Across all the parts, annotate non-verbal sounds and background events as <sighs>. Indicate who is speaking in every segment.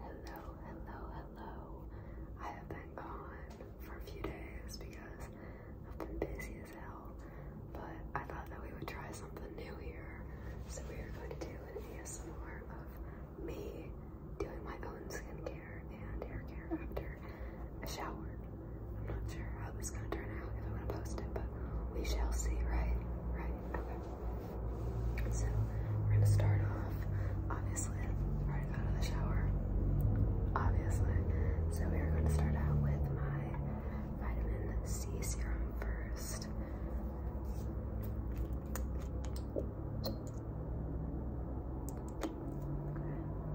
Speaker 1: Hello, hello, hello. I have been gone for a few days because I've been busy as hell, but I thought that we would try something new here. So we are going to do an ASMR of me doing my own skincare and hair care after a shower. I'm not sure how this is gonna turn out if I'm gonna post it, but we shall see, right? Right, okay. So we're gonna start off, obviously, already got out the shower, obviously. So we are gonna start out with my vitamin C serum first.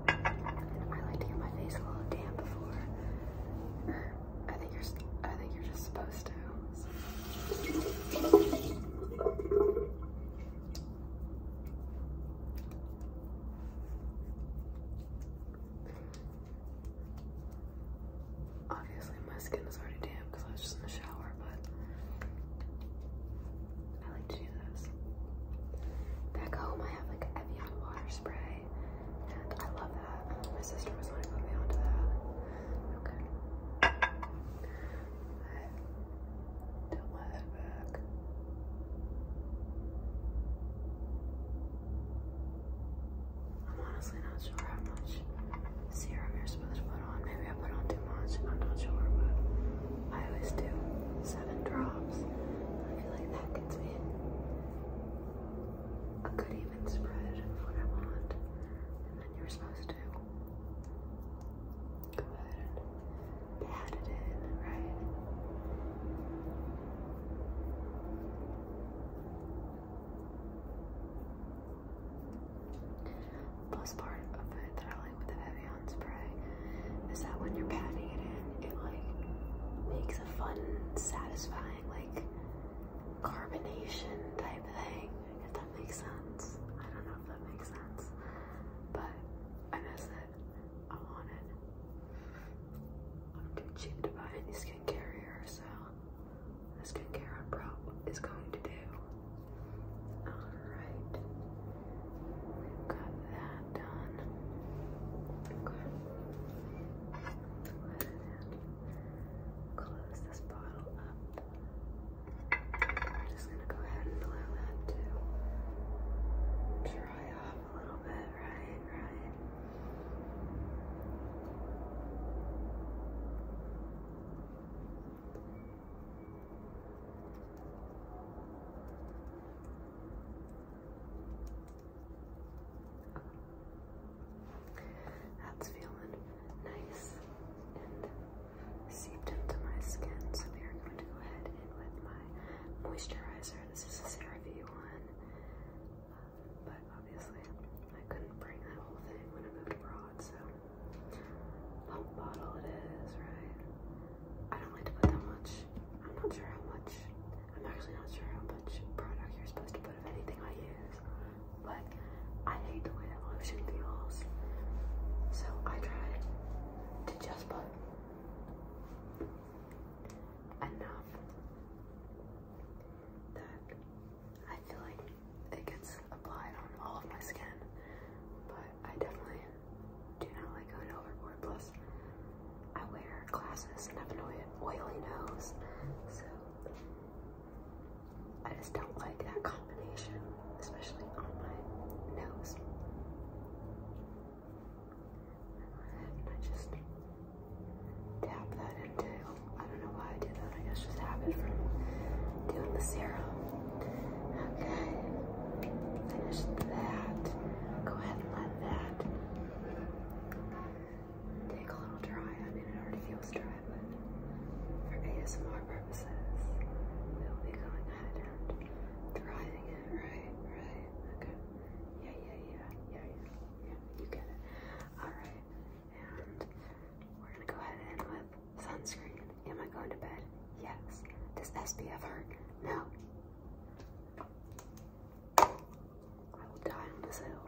Speaker 1: I like to get my face a little damp before. I think you're I think you're just supposed to. Obviously, my skin is already damp because I was just in the shower, but I like to do this. Back home, I have like Evian water spray, and I love that. My sister was like, put me onto that. Okay. I am honestly not sure how much serum you're supposed to put on. Maybe I put on too much, I'm not sure, but I always do seven drops. I feel like that gets me a good even spread of what I want. And then you're supposed go ahead pat it in, right? Plus part of it that I like with the Evian spray is that when you're patting it in, it like makes a fun, satisfying like carbonation type thing if that makes sense. I don't know if that makes sense, but I miss it. I want it. I'm too cheap to buy any skincare here, so the skincare I'm pro is going to do. Alright, we've got that done. Okay. Close this bottle up. I'm just gonna go ahead and allow that to dry off a little bit, right? Right. That's feeling nice and seeped into my skin. So we are going to go ahead and with my moisturizer. This is a CeraVe one, but obviously I couldn't bring that whole thing when I moved abroad, so pump bottle it is, right? I don't like to put that much. I'm not sure how much. I'm actually not sure how much product you're supposed to put of anything I use. But I hate the way that lotion feels. So I try to just put enough that I feel like it gets applied on all of my skin. But I definitely do not like going overboard. Plus, I wear glasses and have an oily nose. So I just don't like that combination, especially on my nose. And I just tap that into, I don't know why I did that, I guess just habit from doing the serum. Okay, finish that. Go ahead and let that take a little dry. I mean, it already feels dry, but for ASMR purposes, we'll be going ahead and thriving it, right? Right? Okay. Yeah, yeah, yeah, yeah, yeah, yeah. You get it. All right, and we're gonna go ahead and with sunscreen. Am I going to bed? Yes. Does SPF hurt? No. I will die on this hill.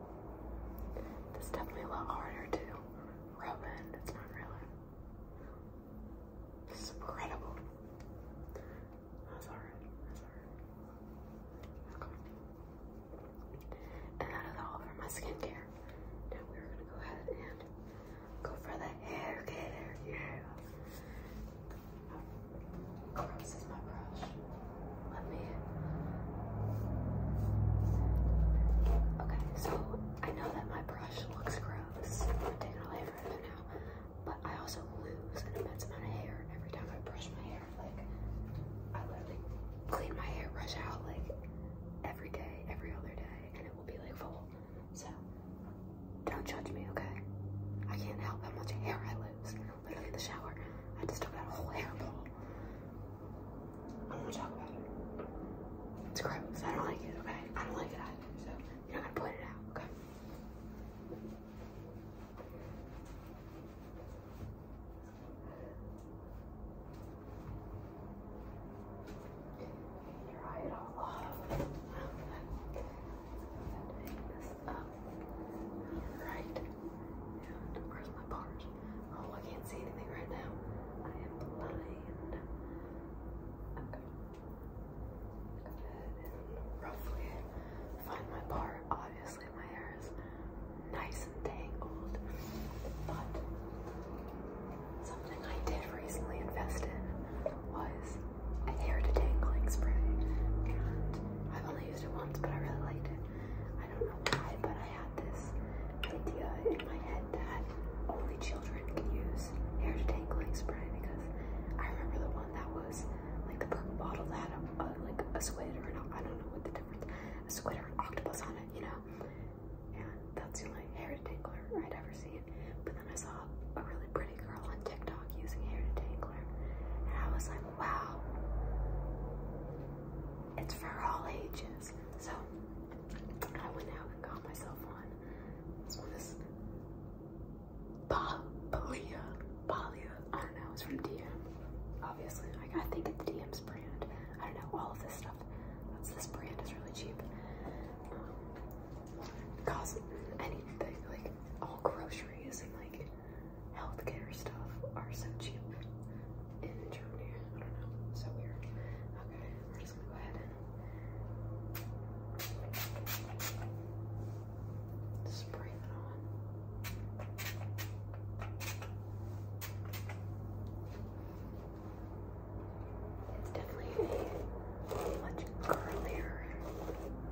Speaker 1: That's definitely a lot harder to rub in. It's not really. This is incredible. That's alright. That's alright. Okay. And that is all for my skincare. Now we're gonna go ahead and go for the hair Yeah. This is my brush. Let me. Okay, so I know that my brush looks gross. I'm taking away from it now. But I also lose an immense amount of hair every time I brush my hair. Like, I literally clean my hairbrush out like every day, every other day, and it will be like full. So, don't judge me, okay? I can't help how much hair I lose look at the shower. I just took out whole hair I don't want to talk about it. It's gross. I don't like it, okay? I don't like it either, so you're going to point it out, okay? Oh, Dry it all off up. where's my bars? Oh, I can't see anything right now. I am blind. Go ahead and roughly find my bar. Obviously, my hair is nice and tangled, but something I did recently invest in was a hair detangling spray. And I've only used it once, but I really liked it. I don't know why, but I had this idea in my head that only children can use hair tangle spray because I remember the one that was like the purple bottle that had a, like a squid or I don't know what the difference, a squid or octopus on it, you know? And that's the only hair tangle I'd ever seen. But then I saw a really pretty girl on TikTok using hair detangler and I was like, wow, it's for all ages. So I went out and got myself one. This one is Balia. Balia. I don't know. It's from DM. Obviously, I think it's DM's brand. I don't know. All of this stuff. That's this brand is really cheap. Um, anything like all groceries and like healthcare stuff are so cheap in Germany. I don't know. so weird. Okay, we're just gonna go ahead and spray that on. It's definitely a much curlier,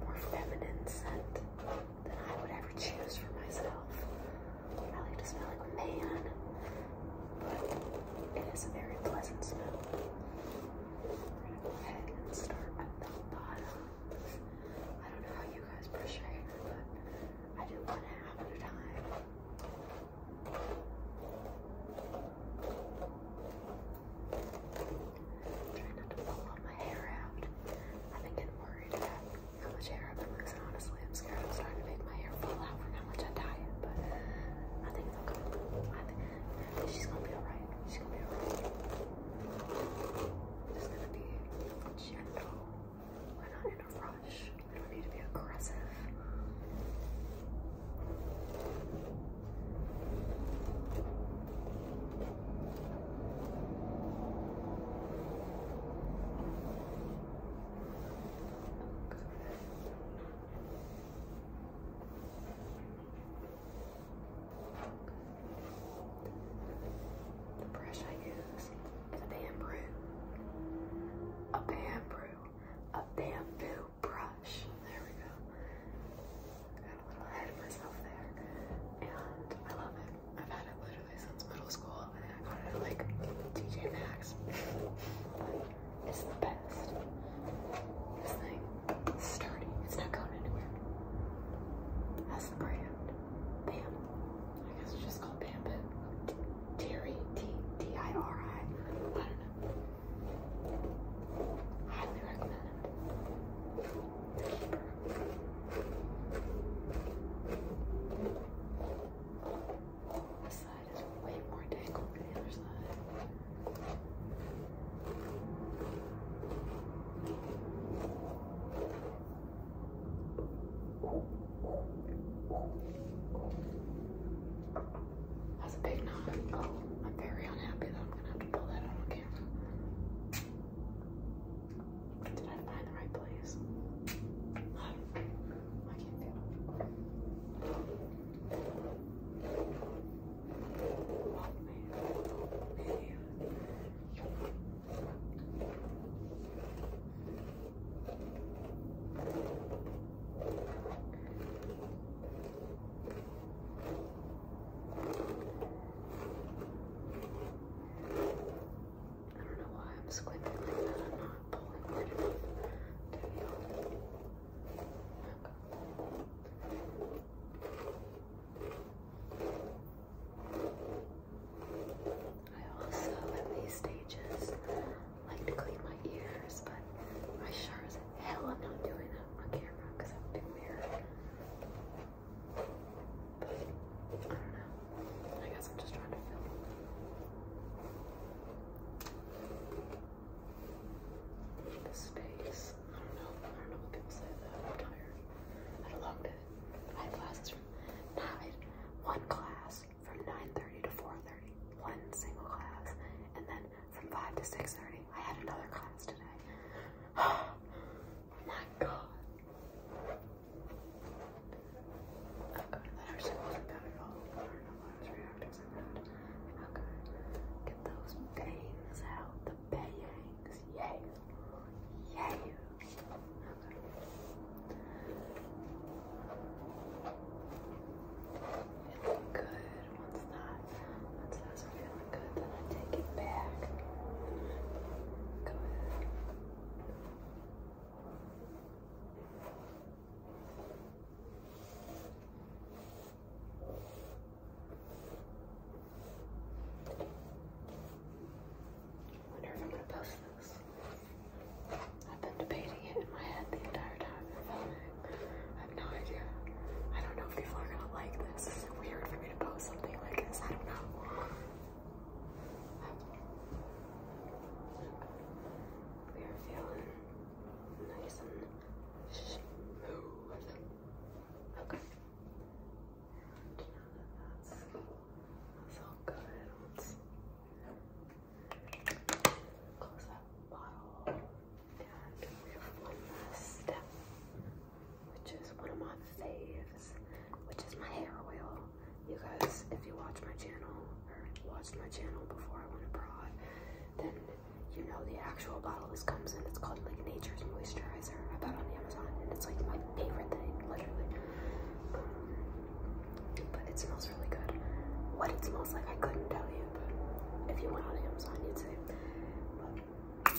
Speaker 1: more feminine scent than I would ever choose for myself. I like to smell like man, but it is a very pleasant smell. We're gonna go ahead and start at the bottom. I don't know how you guys brush your but I do one half at a time. Trying not to pull all my hair out. I've getting worried how much hair I've been losing. Honestly, I'm scared I'm starting to make my hair fall out from how much I dye it, but I think it's okay. I think, I think she's gonna be alright. She's gonna be alright. Just gonna be gentle. We're not in a rush. We don't need to be aggressive. The brush I use is a bamboo. A bamboo. A bamboo brush. There we go. Got a little ahead of myself there. And I love it. I've had it literally since middle school, and I got it at like TJ Maxx. It's the best. This thing is sturdy. It's not going anywhere. That's the brand. Bam. I guess it's just called Bam, but Terry T D I R I. I don't know. Highly recommend it. This side is way more tangled than the other side. That's a big knot. Oh, I'm very unhappy that I'm gonna have to pull that out on did I find the right place? I can't do I don't know why I'm squinting like that. I'm not pulling I also, at these stages, like to clean my ears, but I sure as hell am not doing that on camera because I'm too weird. I guess I'm just trying to fill The space. I don't know. I don't know what people say Though I'm tired. I had a long day. I had classes from nine, one class from 9.30 to 4.30, one single class, and then from 5 to 6.30, I had another class today. <sighs> my god. Uh, okay, that actually wasn't bad at I don't know why I was reacting so bad. Okay. Get those bangs out. The bangs. Yay. Yay. Okay. good once that once that's I wonder if I'm gonna post this. I've been debating it in my head the entire time I'm filming. I have no idea. I don't know if people are gonna like this weird for me to post something like this? I don't know. We are feeling nice and smooth. Okay. And good, close that bottle. And one last step which is one of my faves, which is my hair oil. You guys, if you watch my channel or watched my channel before I went abroad, then you know the actual bottle this comes in. It's called like Nature's Moisturizer. I bought on Amazon, and it's like my favorite thing, literally. Um, but it smells really good. What it smells like, I couldn't tell you, but if you went on Amazon, you'd see. I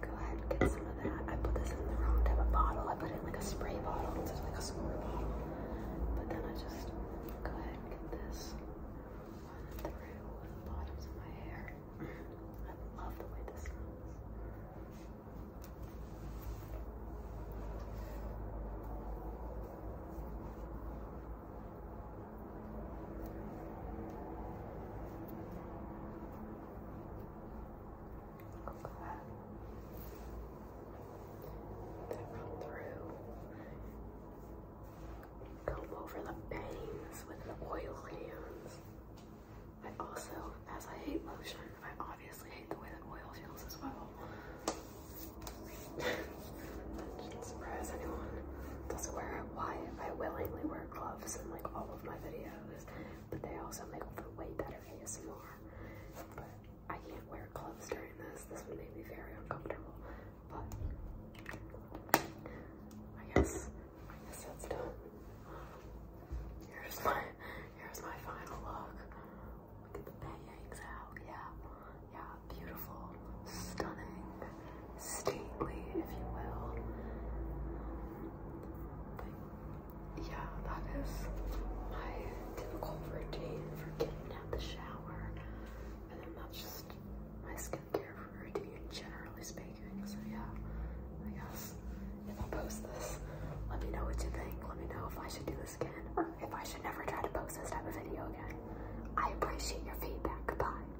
Speaker 1: go ahead and get some of that. I put this in the wrong type of bottle. I put it in like a spray bottle. This is like a smaller bottle. But then I just go ahead and get this on through the bottoms of my hair. I love the way this smells. That through. Comb over the bangs with oil hands. I also, as I hate lotion, I obviously hate the way that oil feels as well. <laughs> I'm surprised anyone doesn't wear it. Why? I willingly wear gloves and like all of my videos, but they also make for way better ASMR. But I can't wear gloves during this. This would make me very uncomfortable. But I guess I guess that's done. Here's my here's my final look. Look at the bangs out. Yeah, yeah, beautiful, stunning stately, if you will. But yeah, that is my typical routine for getting out the shower. And then that's just my skincare routine, generally speaking. So yeah, I guess if I post this, let me know what you think. Let me know if I should do this again or if I should never try to post this type of video again. I appreciate your feedback. Goodbye.